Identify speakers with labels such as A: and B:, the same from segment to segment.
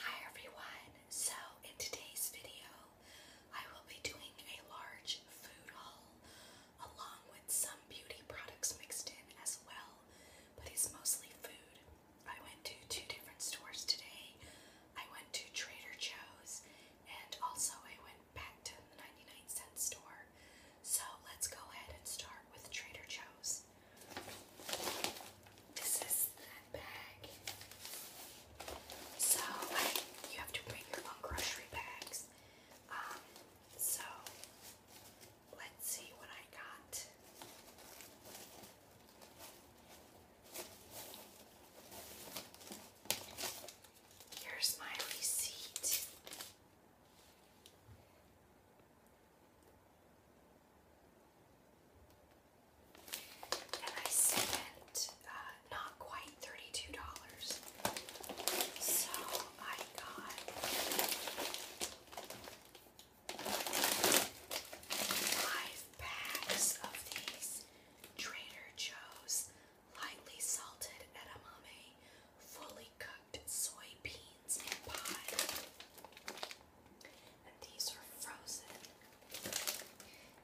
A: Hi everyone! So in today's video, I will be doing a large food haul along with some beauty products mixed in as well, but it's mostly food. I went to two different stores today. I went to Trader Joe's and also I went back to the 99 cent store. So let's go ahead and start with Trader Joe's this. is that bag. So you have to bring your own grocery bags. Um, so let's see what I got. Here's my receipt. And I spent uh, not quite $32. So I got five bags of these Trader Joe's lightly salted edamame fully cooked soybeans and pie these are frozen.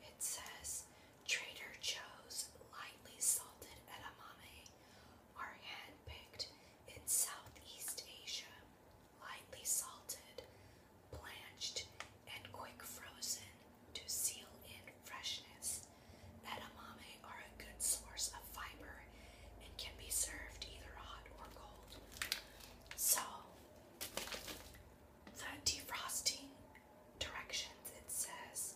A: It says Trader Joe's lightly salted edamame are handpicked in Southeast Asia, lightly salted, blanched, and quick frozen to seal in freshness. Edamame are a good source of fiber and can be served either hot or cold. So, the defrosting directions it says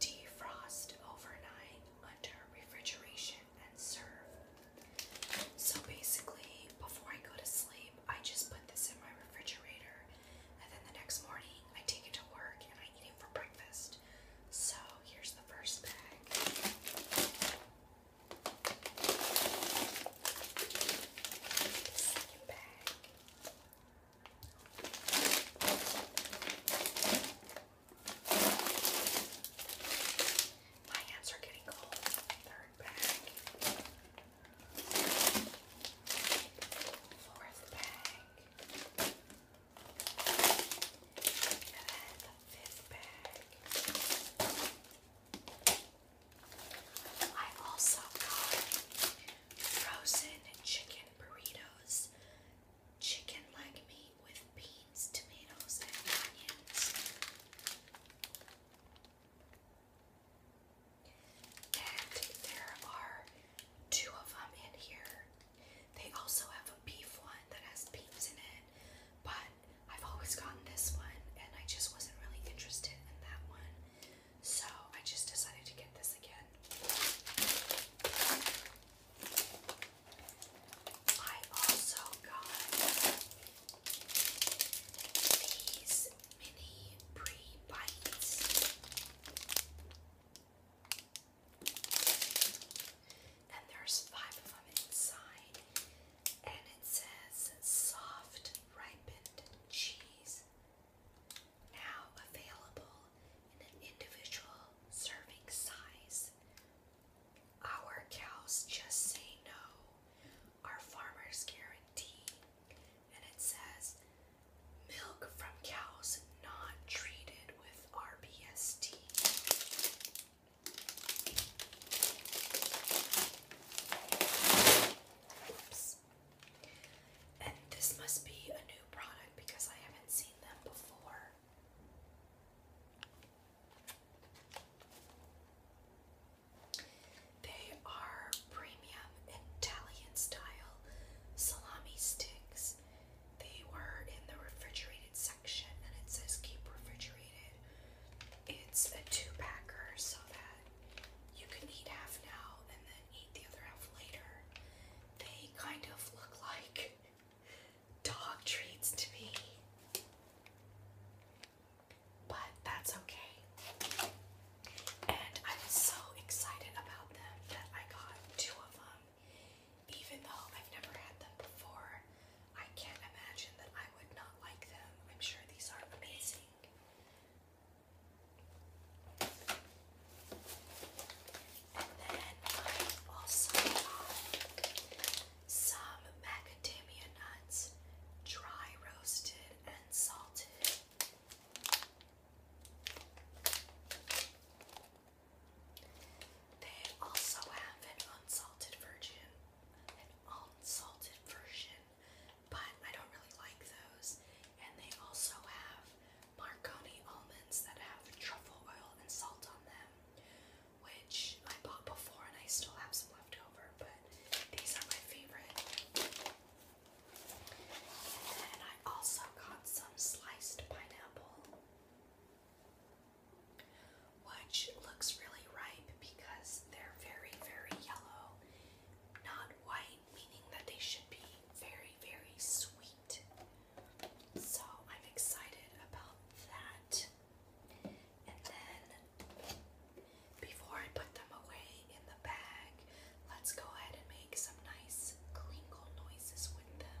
A: defrost overnight under refrigeration and serve. So basically, before I go to sleep, I just put this in my refrigerator and then the next morning I take it to work and I eat it for breakfast. So here's the first bag. Second bag. My hands are getting cold. Third bag. Fourth bag. And then the fifth bag. I also got frozen chicken burritos, chicken leg meat with beans, tomatoes, and onions. there are two of them in here. They also have a beef one that has beans in it, but I've always gotten this one and I just wasn't really interested in that one. So I just decided to get this again. I also got these mini pre-bites. And there's five of them inside and it says soft ripened cheese. Now available in an individual serving size. Our cows just say no. Our farmers guarantee. And it says milk from cows not treated with RBST. And this must be a new product because I haven't seen them before. They are premium Italian style salami sticks. They were in the refrigerated section and it says keep refrigerated it's a two packer so that you can eat half now and then eat the other half later. They kind of look like dog treats to me. But that's okay. And I was so excited about them that I got two of them, even though I've never had them before. I can't imagine that I would not like them. I'm sure these are amazing. And then I also got some macadamia nuts, dry roasted and salted. They also have an unsalted version an unsalted version, but I don't really like those. And they also have Marconi almonds that have truffle oil and salt on them, which I bought before and I still have some left over, but these are my favorite. And then I also got some sliced pineapple which looks really ripe because they're very, very yellow, not white, meaning that they should be very, very sweet. So I'm excited about that. And then before I put them away in the bag, let's go ahead and make some nice clinkle noises with them.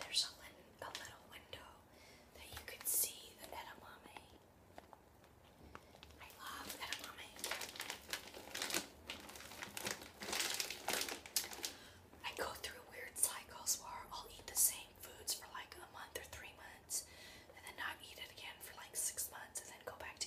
A: There's a, little window that you could see the edamame. I love edamame. I go through weird cycles where I'll eat the same foods for like a month or three months and then not eat it again for like six months and then go back to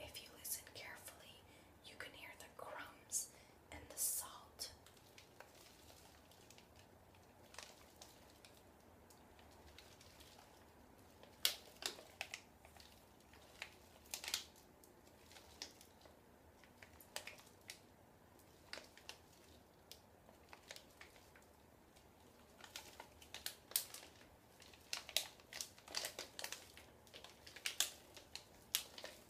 A: If you listen carefully, you can hear the crumbs and the salt.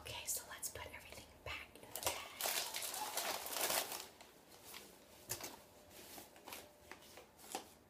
A: Okay, so let's put everything back in the bag.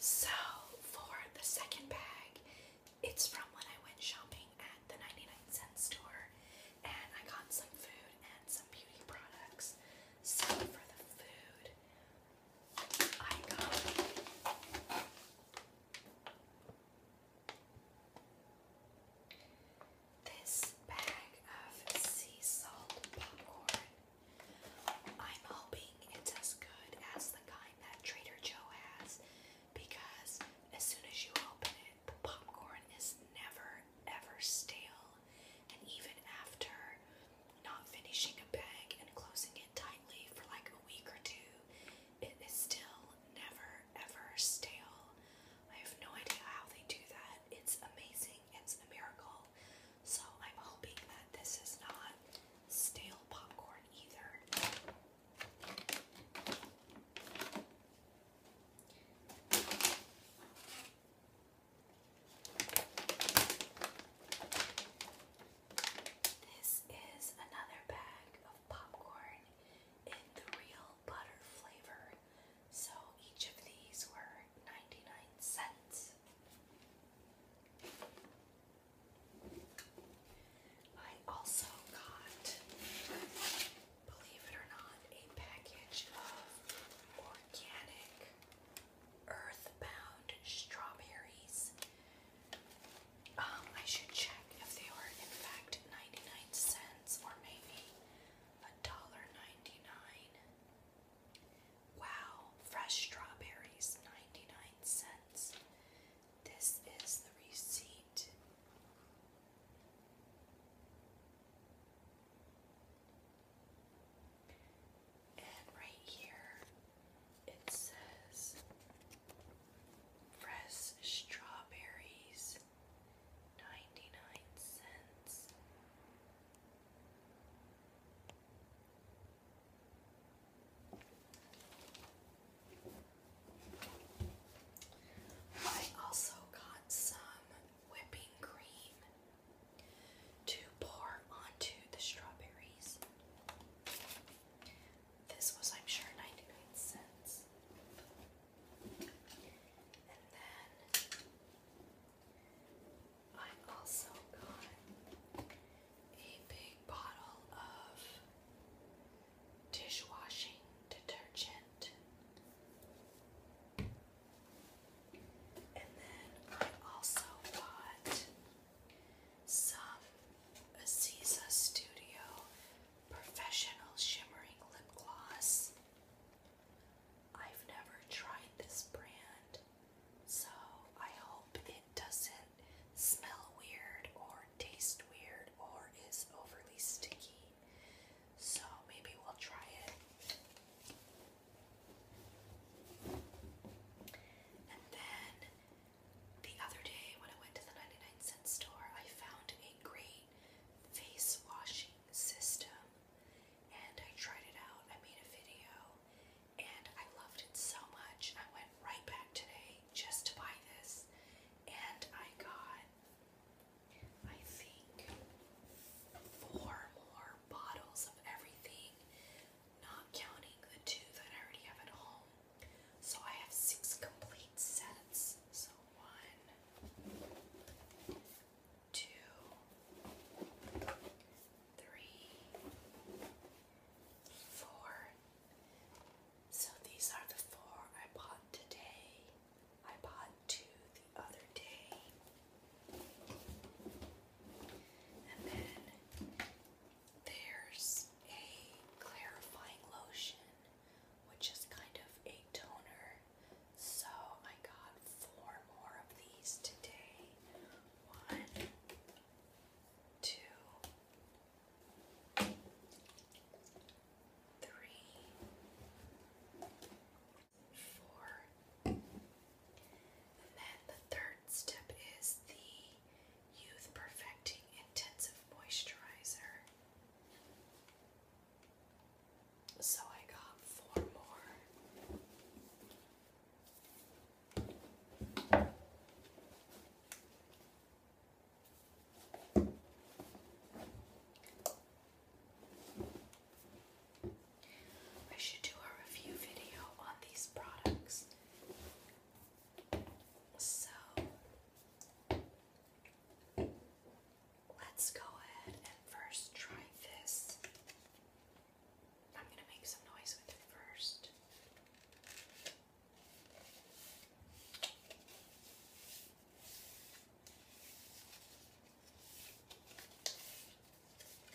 A: So, for the second bag, it's from when I went shopping at the 99 cent store and I got some food and some beauty products. So, for the food, I got this bag of sea salt popcorn. I'm hoping it's as good as the kind that Trader Joe has because as soon as you open it, the popcorn is never ever stale and even after not finishing a bag and closing it tightly for like a week or two, it is still never ever stale. I have no idea how they do that. It's amazing. It's a miracle. So I'm hoping that this is not stale popcorn either. This is another bag of popcorn in the real butter flavor. So each of these were 99 cents. I also got, believe it or not, a package of organic Earthbound strawberries. Um, I should check if they are in fact 99 cents or maybe $1.99. Wow, fresh strawberries, 99 cents. This is the receipt. And right here it says fresh strawberries 99 cents. I also got some whipping cream to pour onto the strawberries. This was, I'm sure, 99 cents. And then I also got a big bottle of dishwashing detergent. And then I also bought some Aziza Studio Professional Shimmering Lip Gloss. I've never tried this brand, so I hope it doesn't smell weird or taste weird or is overly sticky. So maybe we'll try it. And then the other day when I went to the 99 cent store, I found a great face washing system and I tried it out. I made a video and I loved it so much. I went right back today just to buy this and I got I think four more bottles of everything, not counting the two that I already have at home. So I have six complete sets. So one, two, three, four. So these are the four I bought today. I bought two the other day. And then there's a clarifying lotion, which is kind of a toner. So I got four more of these today. One, two, three, and then the third step is the Youth Perfecting Intensive Moisturizer. So I got four more. I should do a review video on these products. So let's go ahead and first try this. I'm going to make some noise with it first.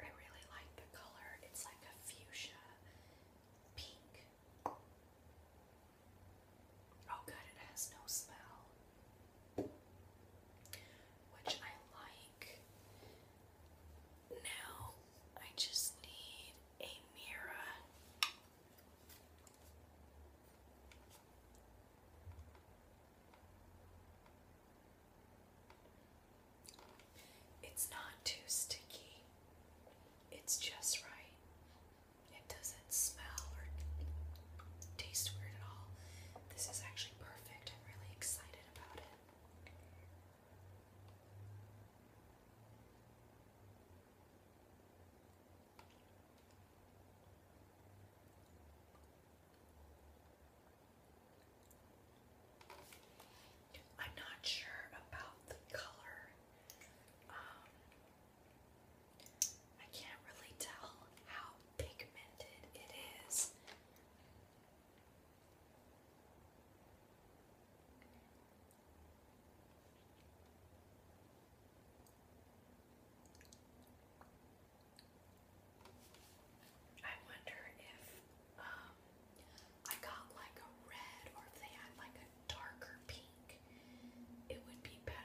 A: I really like the color. It's like a fuchsia pink. Oh good, it has no smell. Which I like. Now I just need a mirror. It's not too sticky. It's just right. It doesn't smell or taste weird at all. This is actually perfect. I'm really excited about it. I'm not sure about the color. Um, I can't really tell how pigmented it is. I wonder if um, I got like a red or if they had like a darker pink, it would be better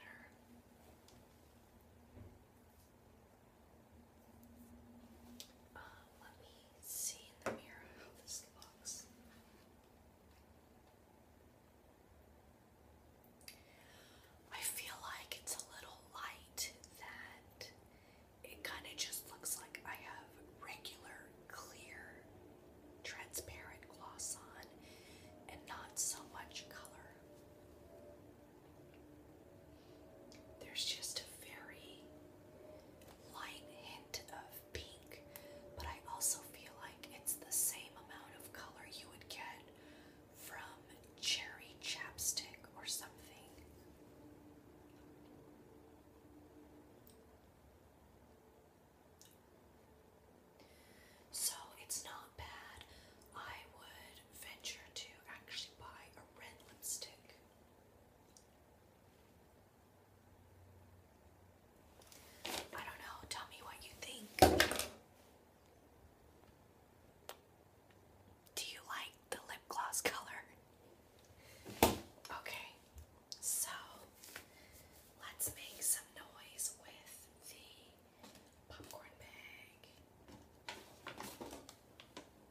A: let me see in the mirror how this looks. I feel like it's a little light that it kind of just looks like I have regular, clear, transparent gloss on and not so much color. There's just a very light hint of pink, but I also feel like it's the same amount of color you would get from cherry chapstick or something. So it's not bad. I would venture to actually buy a red lipstick. I don't know. Tell me what you think. Do you like the lip gloss color? Okay, so let's make some noise with the popcorn bag.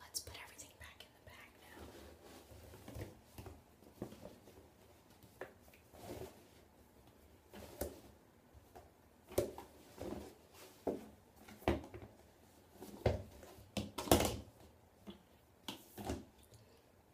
A: Let's put everything back in the bag now.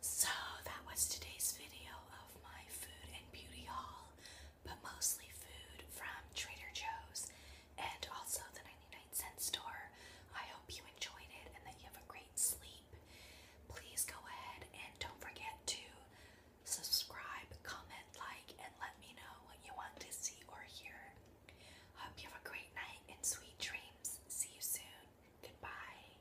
A: So that was today's video of my food and beauty haul, but mostly food from Trader Joe's and also the 99 cent store. I hope you enjoyed it and that you have a great sleep. Please go ahead and don't forget to subscribe, comment, like, and let me know what you want to see or hear. Hope you have a great night and sweet dreams. See you soon. Goodbye.